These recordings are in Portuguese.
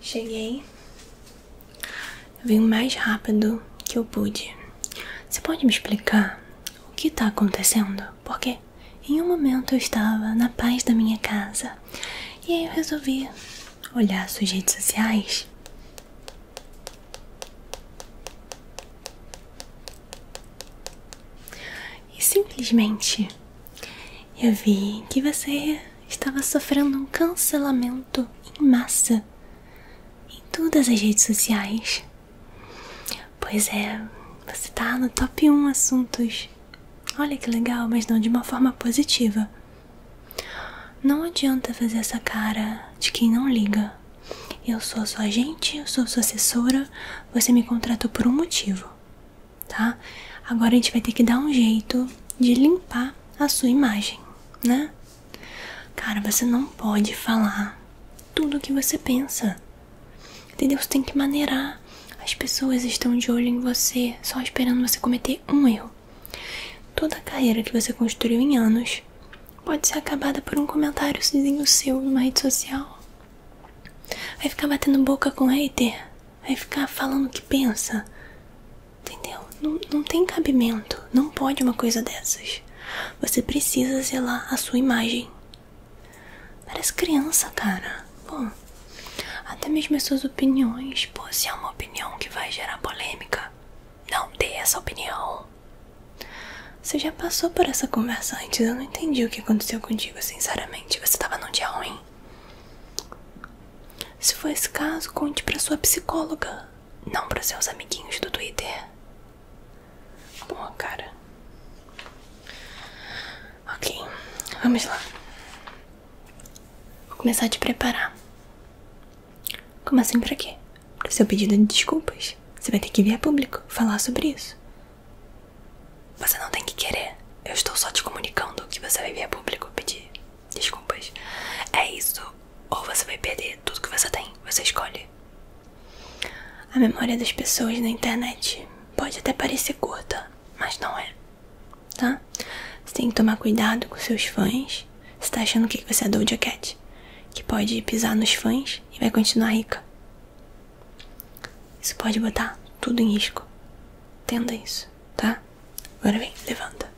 Cheguei. Eu vim o mais rápido que eu pude. Você pode me explicar o que tá acontecendo? Porque em um momento eu estava na paz da minha casa e aí eu resolvi olhar suas redes sociais. E simplesmente eu vi que você estava sofrendo um cancelamento em massa em todas as redes sociais. Pois é, você tá no top 1 assuntos. Olha que legal, mas não de uma forma positiva. Não adianta fazer essa cara de quem não liga. Eu sou sua agente, eu sou sua assessora, você me contratou por um motivo tá? Agora a gente vai ter que dar um jeito de limpar a sua imagem, né? Cara, você não pode falar tudo o que você pensa. Entendeu? Você tem que maneirar. As pessoas estão de olho em você, só esperando você cometer um erro. Toda a carreira que você construiu em anos pode ser acabada por um comentário seu numa rede social. Vai ficar batendo boca com hater? Vai ficar falando o que pensa. Entendeu? Não, tem cabimento. Não pode uma coisa dessas. Você precisa zelar a sua imagem. Parece criança, cara. Bom, até mesmo as suas opiniões. Pô, se é uma opinião que vai gerar polêmica, não dê essa opinião. Você já passou por essa conversa antes. Eu não entendi o que aconteceu contigo, sinceramente. Você tava num dia ruim. Se for esse caso, conte para sua psicóloga, não para seus amiguinhos do Twitter. Boa, cara. Ok, vamos lá. Vou começar a te preparar. Como assim pra quê? Pro seu pedido de desculpas. Você vai ter que vir a público falar sobre isso. Você não tem que querer. Eu estou só te comunicando que você vai vir a público pedir desculpas. É isso, ou você vai perder tudo que você tem. Você escolhe. A memória das pessoas na internet pode até parecer curta, mas não é, tá? Você tem que tomar cuidado com seus fãs. Você tá achando que você é do Cat, que pode pisar nos fãs e vai continuar rica. Isso pode botar tudo em risco. Entenda isso tá? Agora vem, levanta.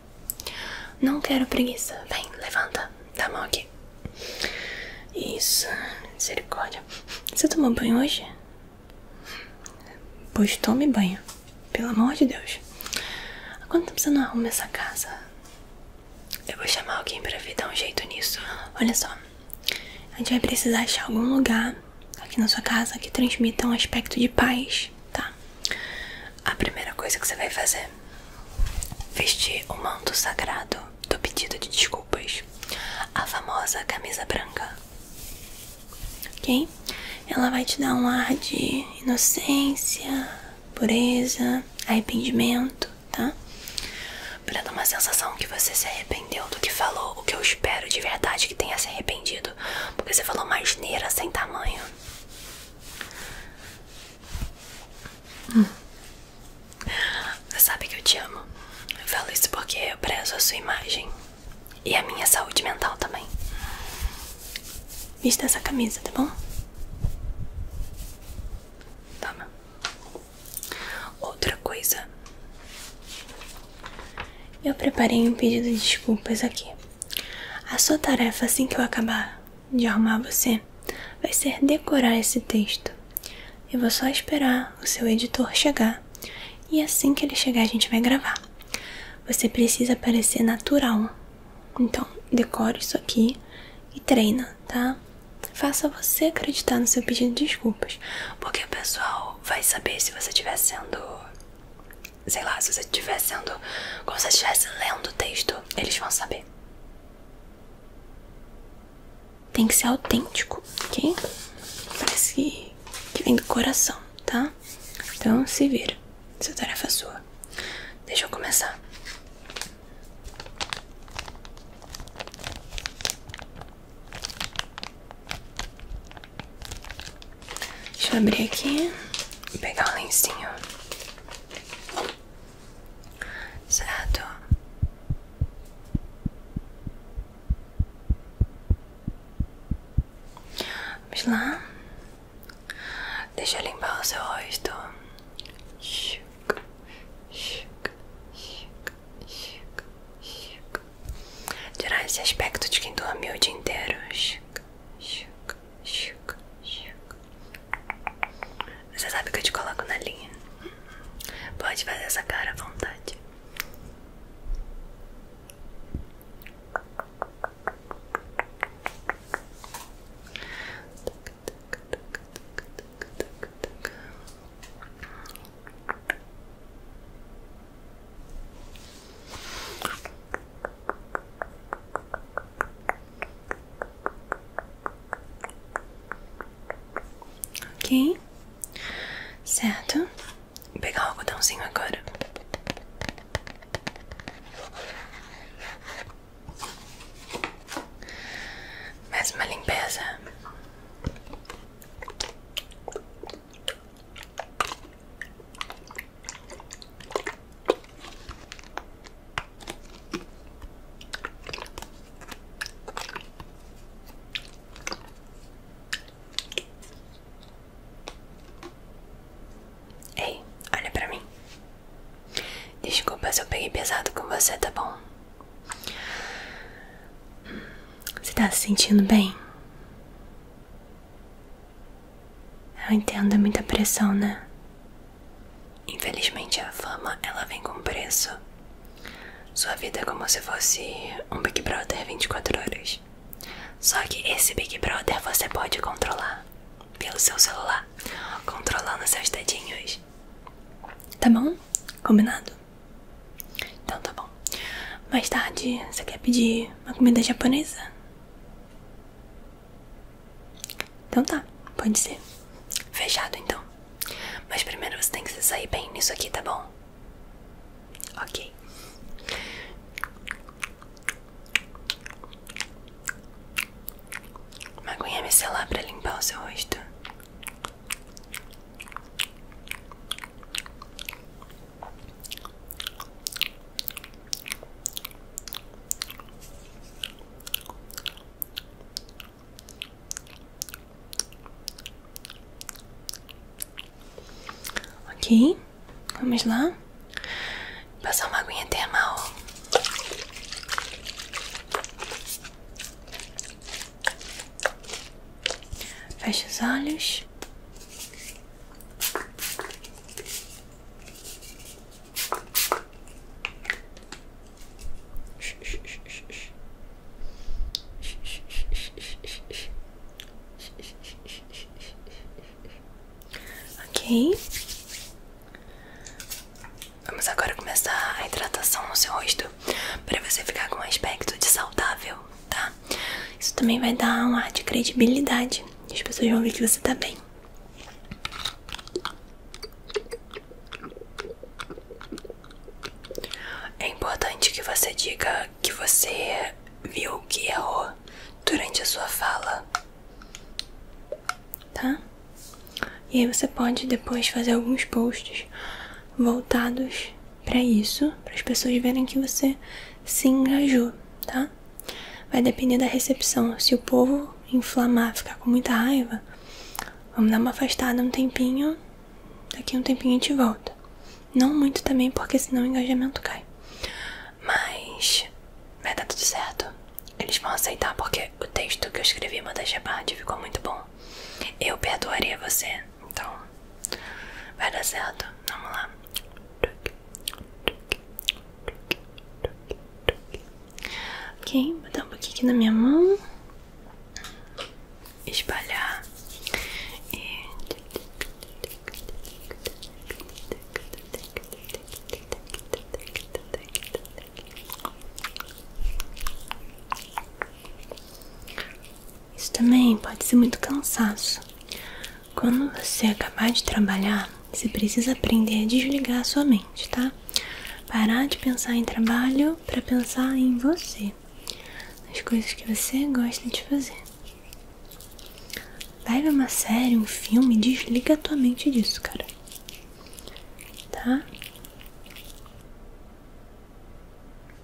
Não quero preguiça. Vem, levanta. Dá a mão aqui. Isso, misericórdia. Você tomou banho hoje? Pois tome banho. Pelo amor de Deus. Há quanto tempo você não tá arruma essa casa? Eu vou chamar alguém pra vir dar um jeito nisso. Olha só. A gente vai precisar achar algum lugar aqui na sua casa que transmita um aspecto de paz, tá? A primeira coisa que você vai fazer: vestir o manto sagrado do pedido de desculpas, a famosa camisa branca. Ok? Ela vai te dar um ar de inocência, pureza, arrependimento, tá? Pra dar uma sensação que você se arrependeu do que falou, o que eu espero de verdade que tenha se arrependido porque você falou uma asneira sem tamanho. Você sabe que eu te amo. Eu falo isso porque eu prezo a sua imagem e a minha saúde mental também. Vista essa camisa, tá bom? Toma. Outra coisa eu preparei um pedido de desculpas aqui. A sua tarefa assim que eu acabar de arrumar você vai ser decorar esse texto. Eu vou só esperar o seu editor chegar e assim que ele chegar a gente vai gravar. Você precisa parecer natural. Então, decore isso aqui e treina, tá? Faça você acreditar no seu pedido de desculpas, porque o pessoal vai saber se você estiver sendo Sei lá, se você estivesse lendo o texto, eles vão saber. Tem que ser autêntico, ok? Parece que, vem do coração, tá? Então se vira. Essa tarefa é sua. Deixa eu começar. Deixa eu abrir aqui e pegar o um lencinho. Certo. Vamos lá. Deixa eu limpar o seu rosto. Chica, chica, chica, chica, chica tirar esse aspecto de quem dormiu o dia inteiro. Você sabe que eu te coloco na linha. Pode fazer essa cara à vontade. Ok, certo. pegar o algodãozinho agora. Mais uma limpeza. Ei, olha pra mim. Desculpa se eu peguei pesado com você, tá bom? Hum, você está se sentindo bem? Eu entendo, é muita pressão, né? Infelizmente a fama, ela vem com preço. Sua vida é como se fosse um Big Brother 24 horas. Só que esse Big Brother você pode controlar pelo seu celular, controlando seus dedinhos. Tá bom? Combinado? Então tá bom. Mais tarde, você quer pedir uma comida japonesa? Então tá, pode ser. Fechado então. Mas primeiro você tem que se sair bem nisso aqui, tá bom? Ok. Uma aguinha micelar pra limpar o seu rosto. Ok, vamos lá passar uma aguinha termal. Fecha os olhos Ok, vamos agora começar a hidratação no seu rosto para você ficar com um aspecto de saudável tá? Isso também vai dar um ar de credibilidade. As pessoas vão ver que você está bem. É importante que você diga que você viu que errou durante a sua fala, tá? E aí você pode depois fazer alguns posts voltados para isso, para as pessoas verem que você se engajou, tá? Vai depender da recepção. Se o povo inflamar, ficar com muita raiva, vamos dar uma afastada um tempinho. Daqui um tempinho a gente volta. Não muito também, porque senão o engajamento cai. Mas vai dar tudo certo. Eles vão aceitar porque o texto que eu escrevi, Manda Shepard, ficou muito bom. Eu perdoaria você, então Vai dar certo, vamos lá. Ok, vou dar um pouquinho aqui na minha mão. Espalhar. E... Isso também pode ser muito cansaço. Quando você acabar de trabalhar, você precisa aprender a desligar a sua mente, tá? Parar de pensar em trabalho para pensar em você, nas coisas que você gosta de fazer. Vai uma série, um filme, desliga a tua mente disso, cara. Tá?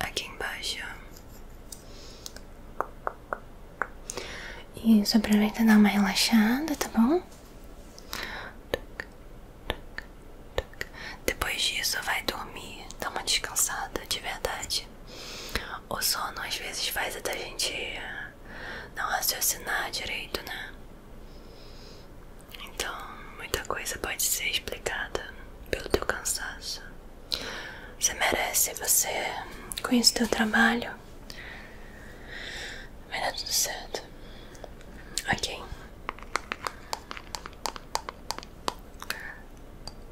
aqui embaixo. Isso, aproveita e dá uma relaxada, tá bom? Depois disso, vai dormir, dá uma descansada de verdade. O sono às vezes faz até a gente não raciocinar direito, né? Então, muita coisa pode ser explicada pelo teu cansaço. Você merece, você conhece o teu trabalho. Vai dar tudo certo. Ok.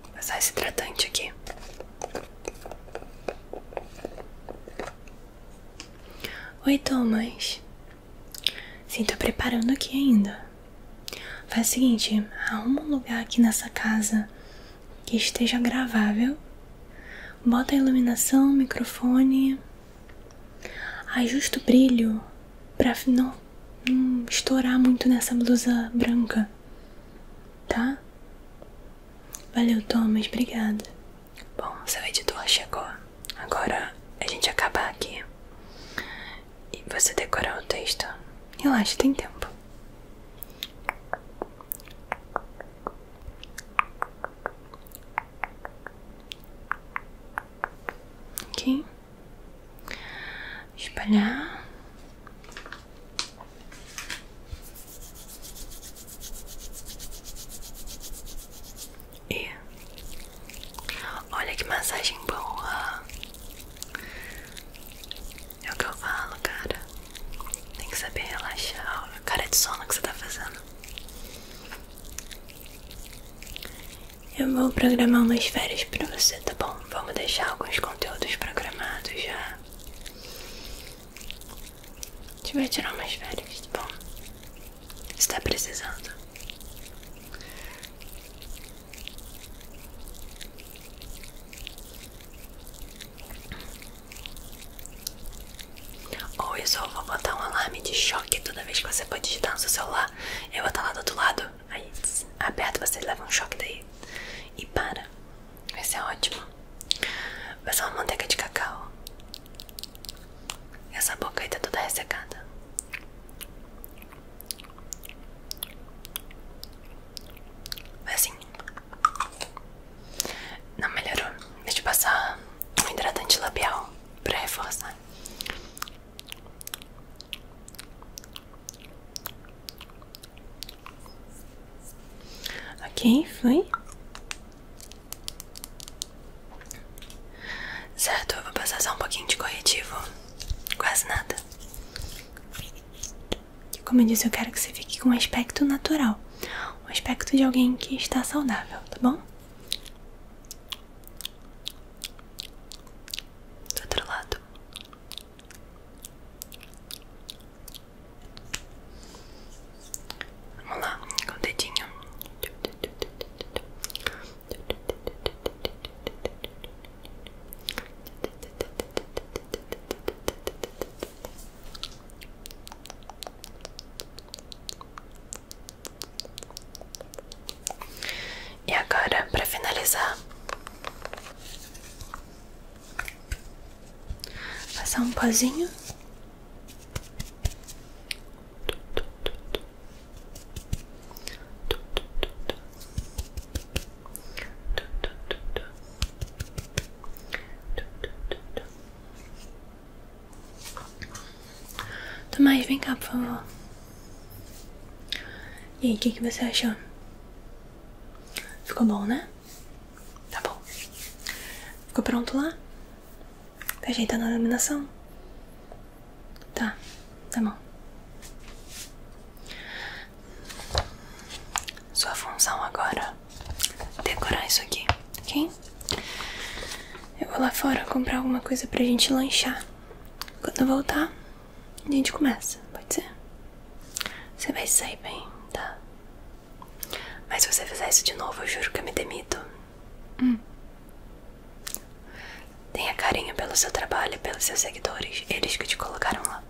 Vou passar esse tratante aqui. Oi, Thomas. Sim, tô preparando aqui ainda. Faz o seguinte, arruma um lugar aqui nessa casa que esteja gravável. Bota a iluminação, microfone. Ajusta o brilho pra não, não estourar muito nessa blusa branca. Tá? Valeu, Thomas. Obrigada. Bom, seu editor chegou. Agora a gente acaba aqui e você decorar o texto. Relaxa, tem tempo. Ok, espalhar. E Olha que massagem boa. É o que eu falo, cara. Tem que saber relaxar. Olha a cara de sono que você tá fazendo. Eu vou programar umas férias pra você, tá bom? Vamos deixar alguns conteúdos programados já. A vai tirar umas férias, tá bom? Você tá precisando. Ou isso, eu vou botar um alarme de choque toda vez que você for digitar no seu celular. Eu vou estar tá lá do outro lado, aí aperta, você leva um choque daí e para. Vai ser ótimo. Vai ser uma manteiga de cacau. Essa boca aí tá toda ressecada. Foi assim. Não melhorou. Deixa eu passar um hidratante labial pra reforçar. Ok, foi. Certo, eu vou passar só um pouquinho de corretivo quase nada. Como eu disse, eu quero que você fique com um aspecto natural, um aspecto de alguém que está saudável, tá bom? Do outro lado. Vamos lá, com o dedinho. E agora, para finalizar, passar um pozinho. Toma aí, vem cá, por favor. E aí, o que, que você achou? Ficou bom, né? Tá bom. Ficou pronto lá? Tá ajeitando a iluminação? Tá, tá bom. Sua função agora é decorar isso aqui, ok? Eu vou lá fora comprar alguma coisa pra gente lanchar. Quando eu voltar, a gente começa, pode ser? Você vai sair bem, tá? Mas se você fizer isso de novo, eu juro que eu me demito. Hum. Tenha carinho pelo seu trabalho e pelos seus seguidores, eles que te colocaram lá.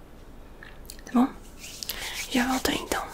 Tá bom? Já volto então.